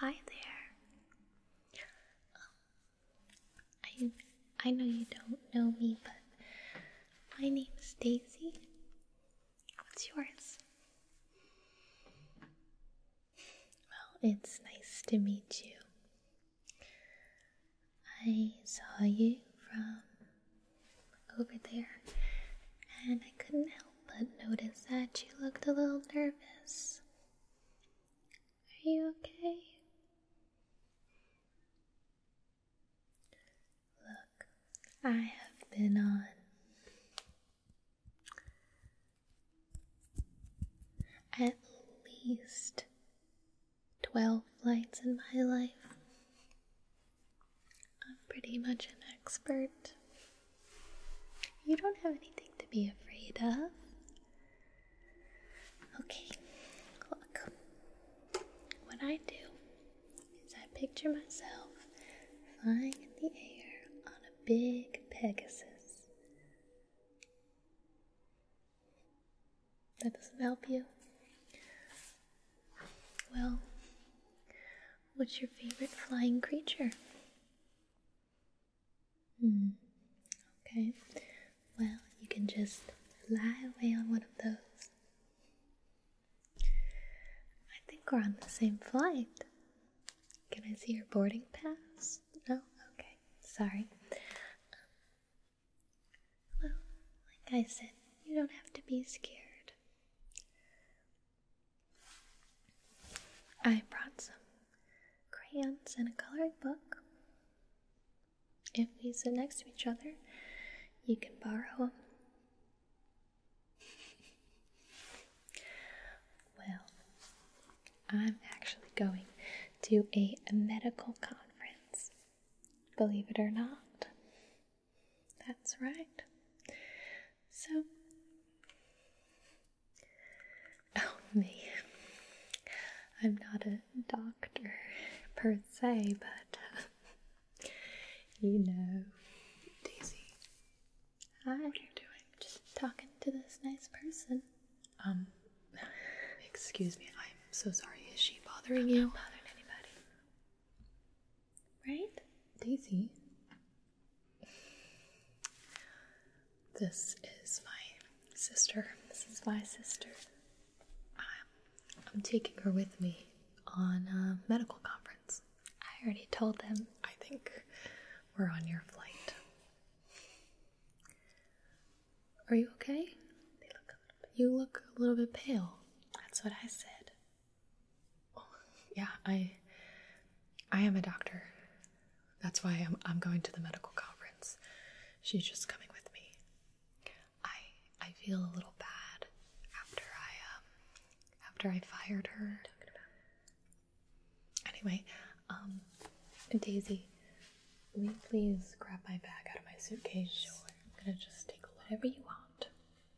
Hi there. Um, I I know you don't know me, but my name is Daisy. What's yours? Well, it's nice to meet you. I saw you from over there, and I couldn't help but notice that you looked a little nervous. Are you okay? Look, I have been on. At least 12 flights in my life. I'm pretty much an expert. You don't have anything to be afraid of. Okay, look. What I do is I picture myself flying in the air on a big Pegasus. That doesn't help you. Well, what's your favorite flying creature? Hmm. Okay. Well, you can just fly away on one of those. I think we're on the same flight. Can I see your boarding pass? No? Okay. Sorry. Well, like I said, you don't have to be scared. I brought some crayons and a coloring book. If we sit next to each other, you can borrow them. well, I'm actually going to a medical conference, believe it or not. That's right. So, oh, me. I'm not a doctor per se, but uh, you know, Daisy. Hi. What are you doing? Just talking to this nice person. Um, excuse me. I'm so sorry. Is she bothering I'm you? Not bothering anybody. Right? Daisy. This is my sister. This is my sister. I'm taking her with me on a medical conference. I already told them. I think we're on your flight. Are you okay? you look a little bit pale. That's what I said. Yeah, I I am a doctor. That's why I'm I'm going to the medical conference. She's just coming with me. I I feel a little bad after I um, after I fired her. Anyway, um, Daisy, will you please grab my bag out of my suitcase? Sure. I'm gonna just take Whatever you want.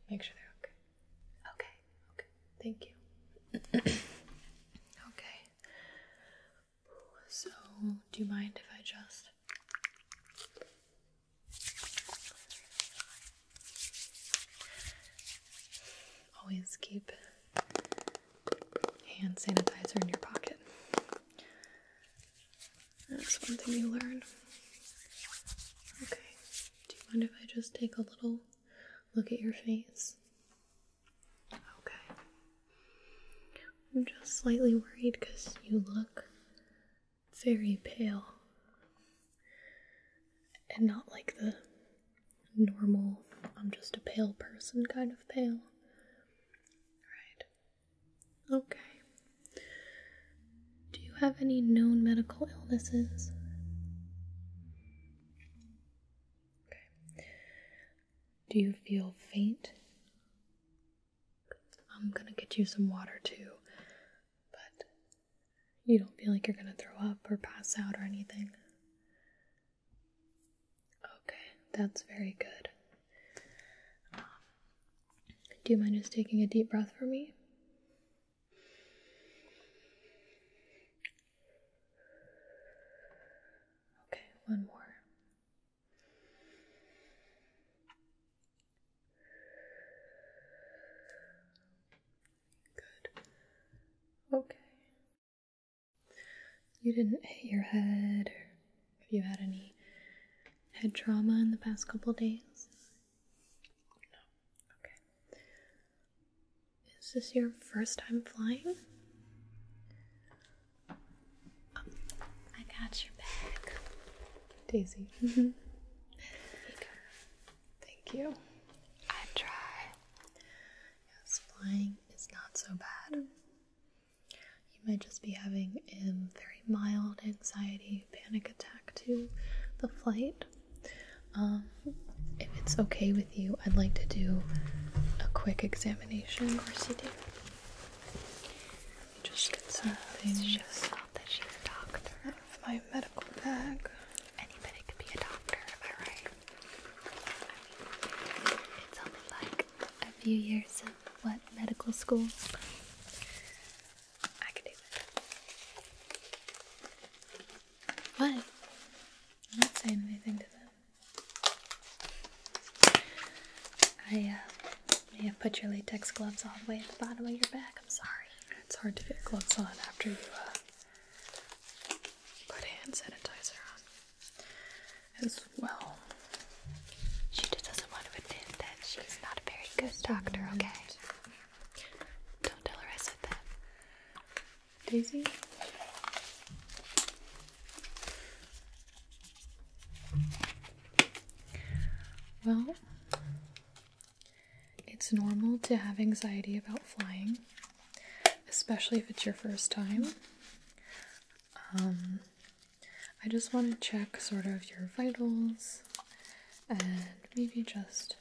Make sure they're okay. Okay. Okay. Thank you. okay. So, do you mind if I just always keep hand sanitizer in your pocket? That's one thing you learn. Okay, do you mind if I just take a little look at your face? Okay. I'm just slightly worried because you look very pale. And not like the normal, I'm just a pale person kind of pale. Alright. Okay. Do you have any known medical illnesses? Okay. Do you feel faint? I'm gonna get you some water too, but you don't feel like you're gonna throw up or pass out or anything. Okay, that's very good. Do you mind just taking a deep breath for me? Okay, one more. Good. Okay. You didn't hit your head have you had any head trauma in the past couple days? Is this your first time flying? I got your bag. Daisy. Thank you. I try. Yes, flying is not so bad. You might just be having a very mild anxiety panic attack to the flight. Um, if it's okay with you, I'd like to do a quick examination. Of course you do. Just get some things. Shows off that she's a doctor. Out of my medical bag. Anybody could be a doctor, am I right? it's only like a few years of what medical school. I can do that. What? not saying anything to them. I may uh, have put your latex gloves all the way at the bottom of your bag. I'm sorry. It's hard to get gloves on after you uh, put hand sanitizer on as well. She just doesn't want to admit that she's not a very good doctor, okay? Don't tell her I said that. Daisy? Well, it's normal to have anxiety about flying, especially if it's your first time. Um, I just want to check sort of your vitals and maybe just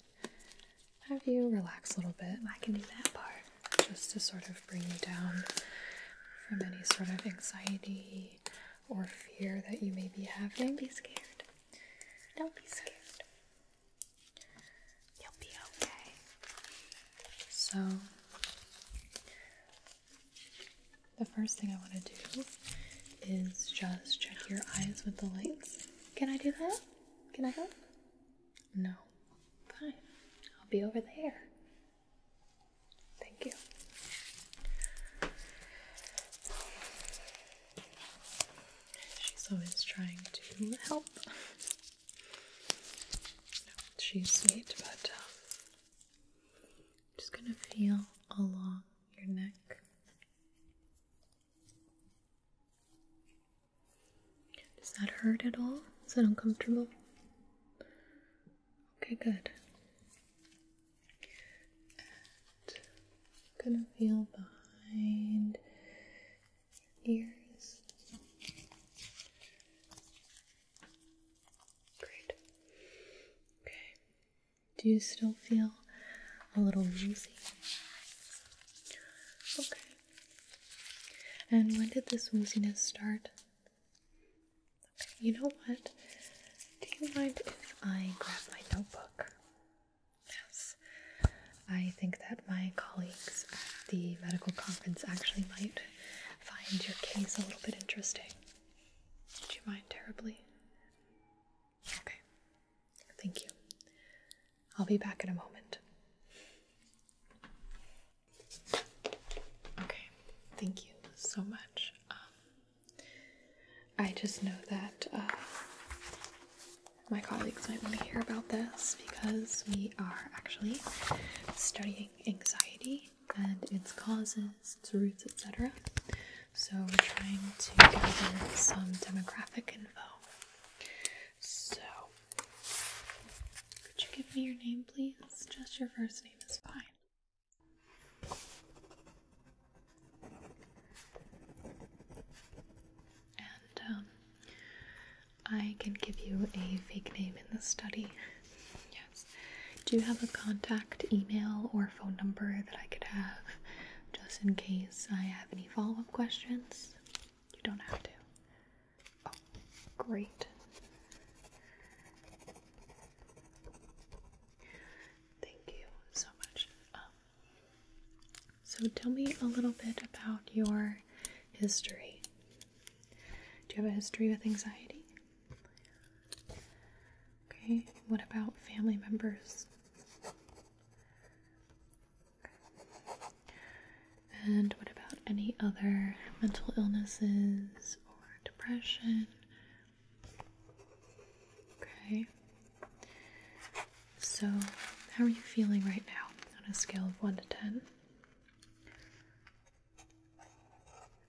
have you relax a little bit. I can do that part just to sort of bring you down from any sort of anxiety or fear that you may be having. Don't be scared. Don't be scared. You'll be okay. So, the first thing I want to do is just check your eyes with the lights. Can I do that? Can I help? No. Fine. I'll be over there. Thank you. She's always trying to help. She's sweet, but I'm um, just gonna feel along your neck. Does that hurt at all? Is that uncomfortable? Okay, good. I'm gonna feel behind your ears. Great. Okay. Do you still feel a little woozy? Okay. And when did this wooziness start? you know what? Do you mind if I grab my notebook? Yes. I think that my colleagues at the medical conference actually might find your case a little bit interesting. Would you mind terribly? Okay. Thank you. I'll be back in a moment. Okay. Thank you so much. Um, I just know that uh, my colleagues might want to hear about this because we are actually studying anxiety and its causes, its roots, etc. So we're trying to gather some demographic info. So, could you give me your name, please? Just your first name is fine. And um, I can give you a fake name in the study. Yeah, do you have a contact email or phone number that I could have just in case I have any follow up questions? You don't have to. Oh, great. Thank you so much. Um, so, tell me a little bit about your history. Do you have a history with anxiety? Okay, what about family members? And what about any other mental illnesses or depression? Okay. So, how are you feeling right now on a scale of 1 to 10?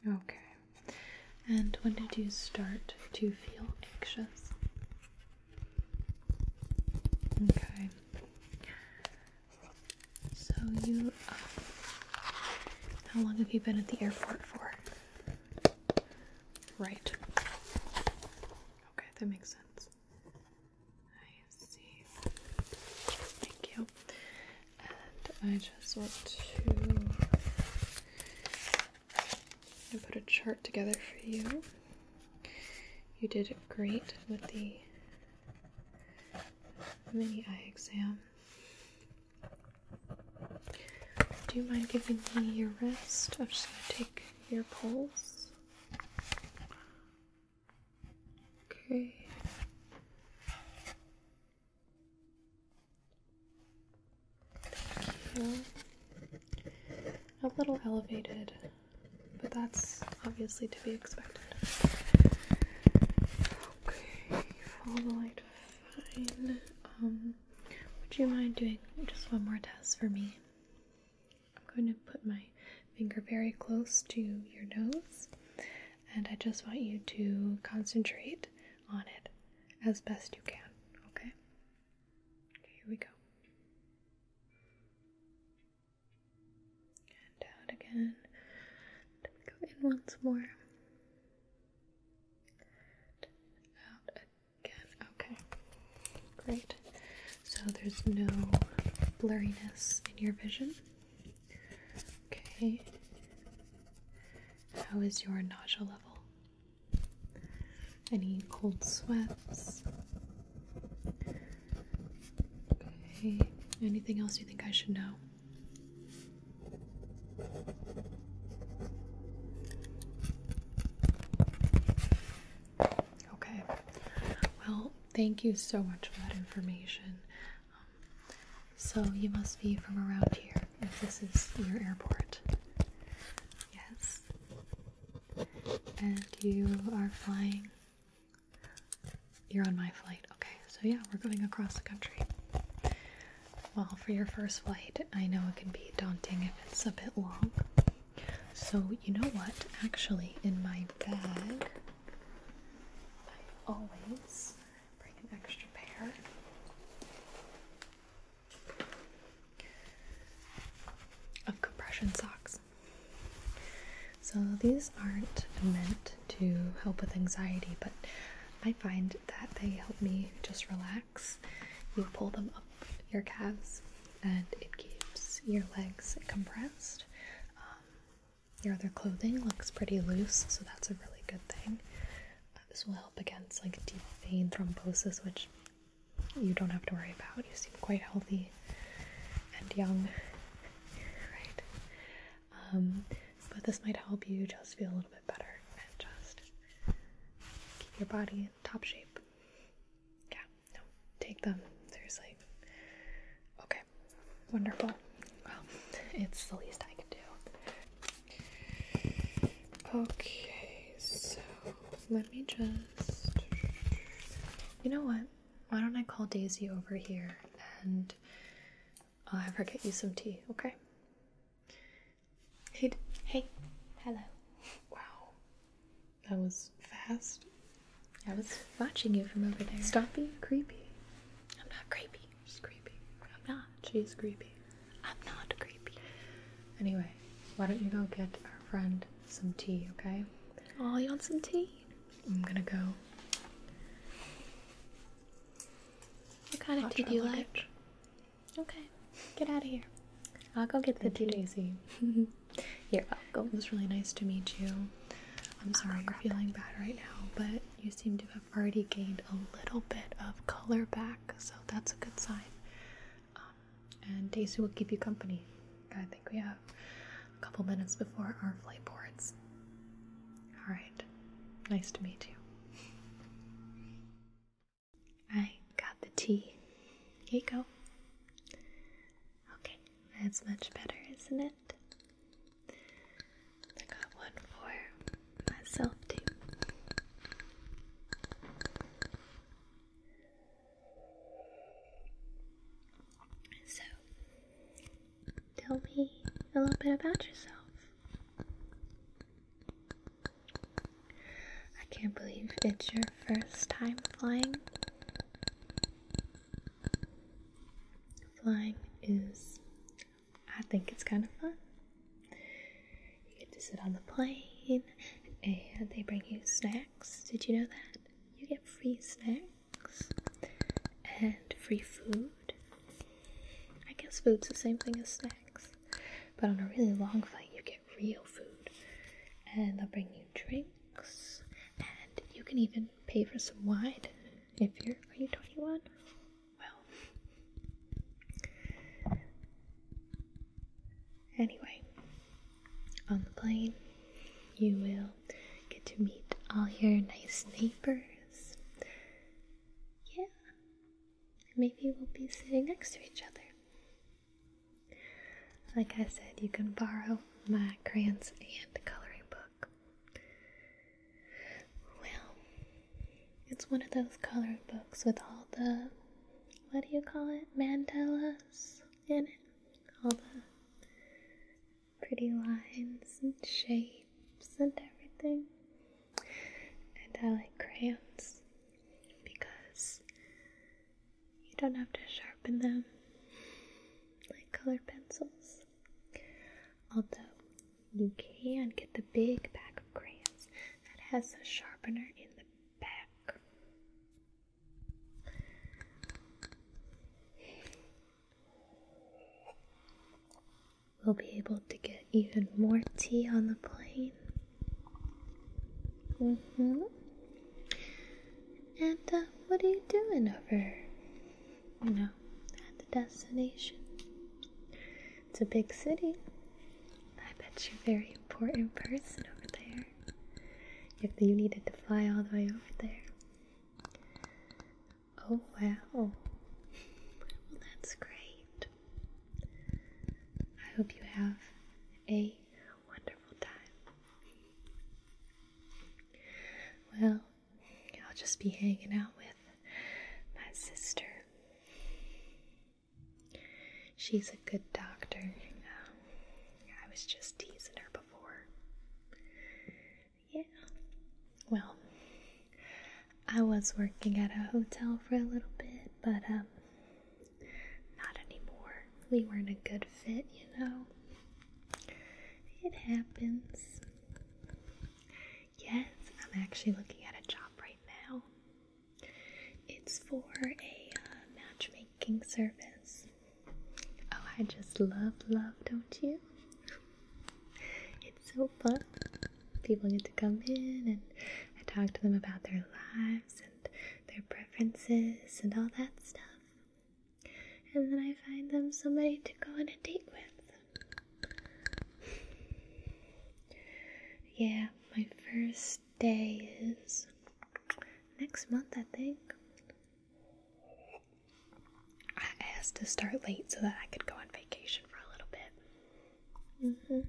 Okay. And when did you start to feel anxious? Okay. So you. Uh, how long have you been at the airport for? Right. Okay, that makes sense. I see. Thank you. And I just want to put a chart together for you. You did great with the mini eye exam. Do you mind giving me your wrist? I'm just going to take your pulse. Okay a little elevated, but that's obviously to be expected. Okay, follow the light fine. Um, would you mind doing just one more test for me? I'm going to put my finger very close to your nose, and I just want you to concentrate on it as best you can, okay? Okay, here we go. And out again. Go in once more. Out again. Okay, great. So there's no blurriness in your vision. Okay. How is your nausea level? Any cold sweats? Okay. Anything else you think I should know? Okay. Well, thank you so much for that information. Um, so you must be from around here if this is your airport. Yes. And you are flying. You're on my flight. Okay, so yeah, we're going across the country. Well, for your first flight, I know it can be daunting if it's a bit long. So, you know what? Actually, in my bag, I always Bring an extra pair. Of compression socks. So these aren't meant to help with anxiety, but I find that they help me just relax. You pull them up your calves, and it keeps your legs compressed. Um, your other clothing looks pretty loose, so that's a really good thing this will help against like deep vein thrombosis, which you don't have to worry about. You seem quite healthy and young, right? Um, but this might help you just feel a little bit better and just keep your body in top shape. Yeah, no, take them seriously. Okay, wonderful. Well, it's the least I can do. Okay, so let me just. You know what? Why don't I call Daisy over here and I'll have her get you some tea, okay? Hey, hey, hello. Wow, that was fast. I was watching you from over there. Stop being creepy. I'm not creepy. She's creepy. I'm not. She's creepy. I'm not creepy. Anyway, why don't you go get our friend some tea, okay? Oh, you want some tea? I'm gonna go. What kind of tea do you like? Okay, get out of here. I'll go get the tea, Daisy. You're welcome. It was really nice to meet you. I'm sorry oh, you're feeling bad right now, but you seem to have already gained a little bit of color back, so that's a good sign. Um, and Daisy will keep you company. I think we have a couple minutes before our flight boards. Alright, nice to meet you. I got the tea. Here you go. Okay, that's much better, isn't it? I got one for myself too. So, tell me a little bit about yourself. I can't believe it's your first time flying. Flying is I think it's kind of fun. You get to sit on the plane and they bring you snacks. Did you know that? You get free snacks and free food. I guess food's the same thing as snacks, but on a really long flight, you get real food. And they'll bring you drinks, and you can even pay for some wine if you're. Are you 21? well. Anyway, on the plane, you will get to meet all your nice neighbors. Yeah, maybe we'll be sitting next to each other. Like I said, you can borrow my crayons and coloring book. Well, it's one of those coloring books with all the, what do you call it, mandalas in it? All the pretty lines and shapes and everything. And I like crayons because you don't have to sharpen them like colored pencils. Although you can get the big pack of crayons that has a sharpener in the back. We'll be able to get even more tea on the plane. hmm And uh, what are you doing over you know, at the destination. It's a big city. I bet you're a very important person over there. If you needed to fly all the way over there. Oh wow. that's great. I hope you have a wonderful time. Well, I'll just be hanging out with my sister. She's a good doctor. Um, I was just teasing her before. Yeah. Well, I was working at a hotel for a little bit, but um, not anymore. We weren't a good fit, you know. It happens. Yes, I'm actually looking at a job right now. It's for a uh, matchmaking service. Oh, I just love love, don't you? It's so fun. People get to come in and I talk to them about their lives and their preferences and all that stuff. And then I find them somebody to go on a date with yeah, my first day is next month, I think. I asked to start late so that I could go on vacation for a little bit. Mhm.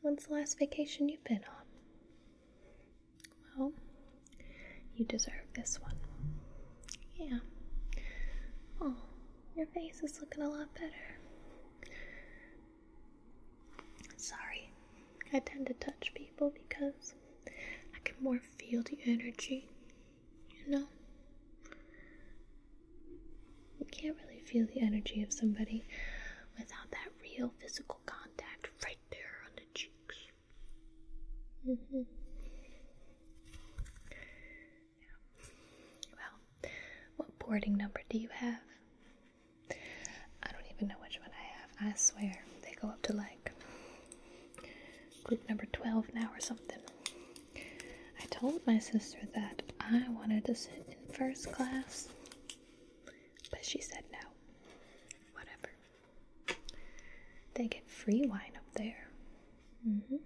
When's the last vacation you've been on? Well, you deserve this one. Yeah. Oh, your face is looking a lot better. Sorry, I tend to touch people because I can more feel the energy, you know? You can't really feel the energy of somebody without that real physical contact right there on the cheeks. Mm-hmm. Well, what boarding number do you have? I don't even know which one I have. I swear, they go up to like group number 12 now or something. I told my sister that I wanted to sit in first class, but she said no. Whatever. They get free wine up there. Mm -hmm.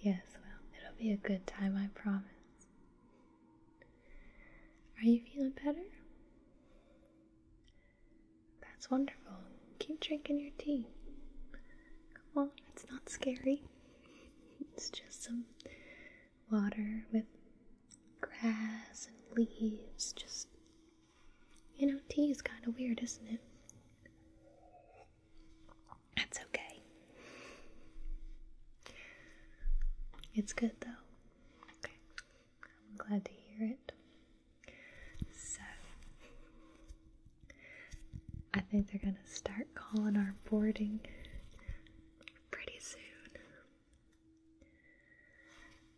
yes, well, it'll be a good time, I promise. Are you feeling better? That's wonderful. Keep drinking your tea. Come on, it's not scary. It's just some water with grass and leaves, just you know, tea is kind of weird, isn't it? That's okay. It's good though. Okay. I'm glad to hear it. So, I think they're going to start calling our boarding pretty soon.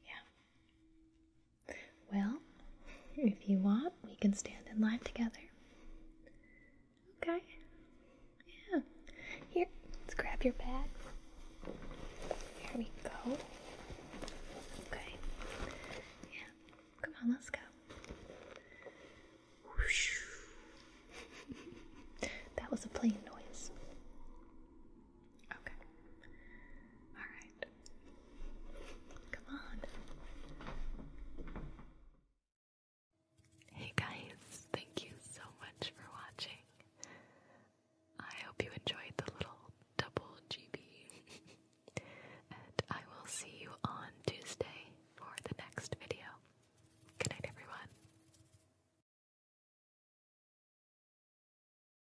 Yeah. Well, if you want, we can stand in line together. Okay. Yeah. Here, let's grab your bag. Here we go. Okay. Yeah. Come on, let's go. that was a plane noise. Okay. Alright. Come on. Hey guys, thank you so much for watching. I hope you enjoyed the little double GB. and I will see you on Tuesday for the next video. Good night, everyone.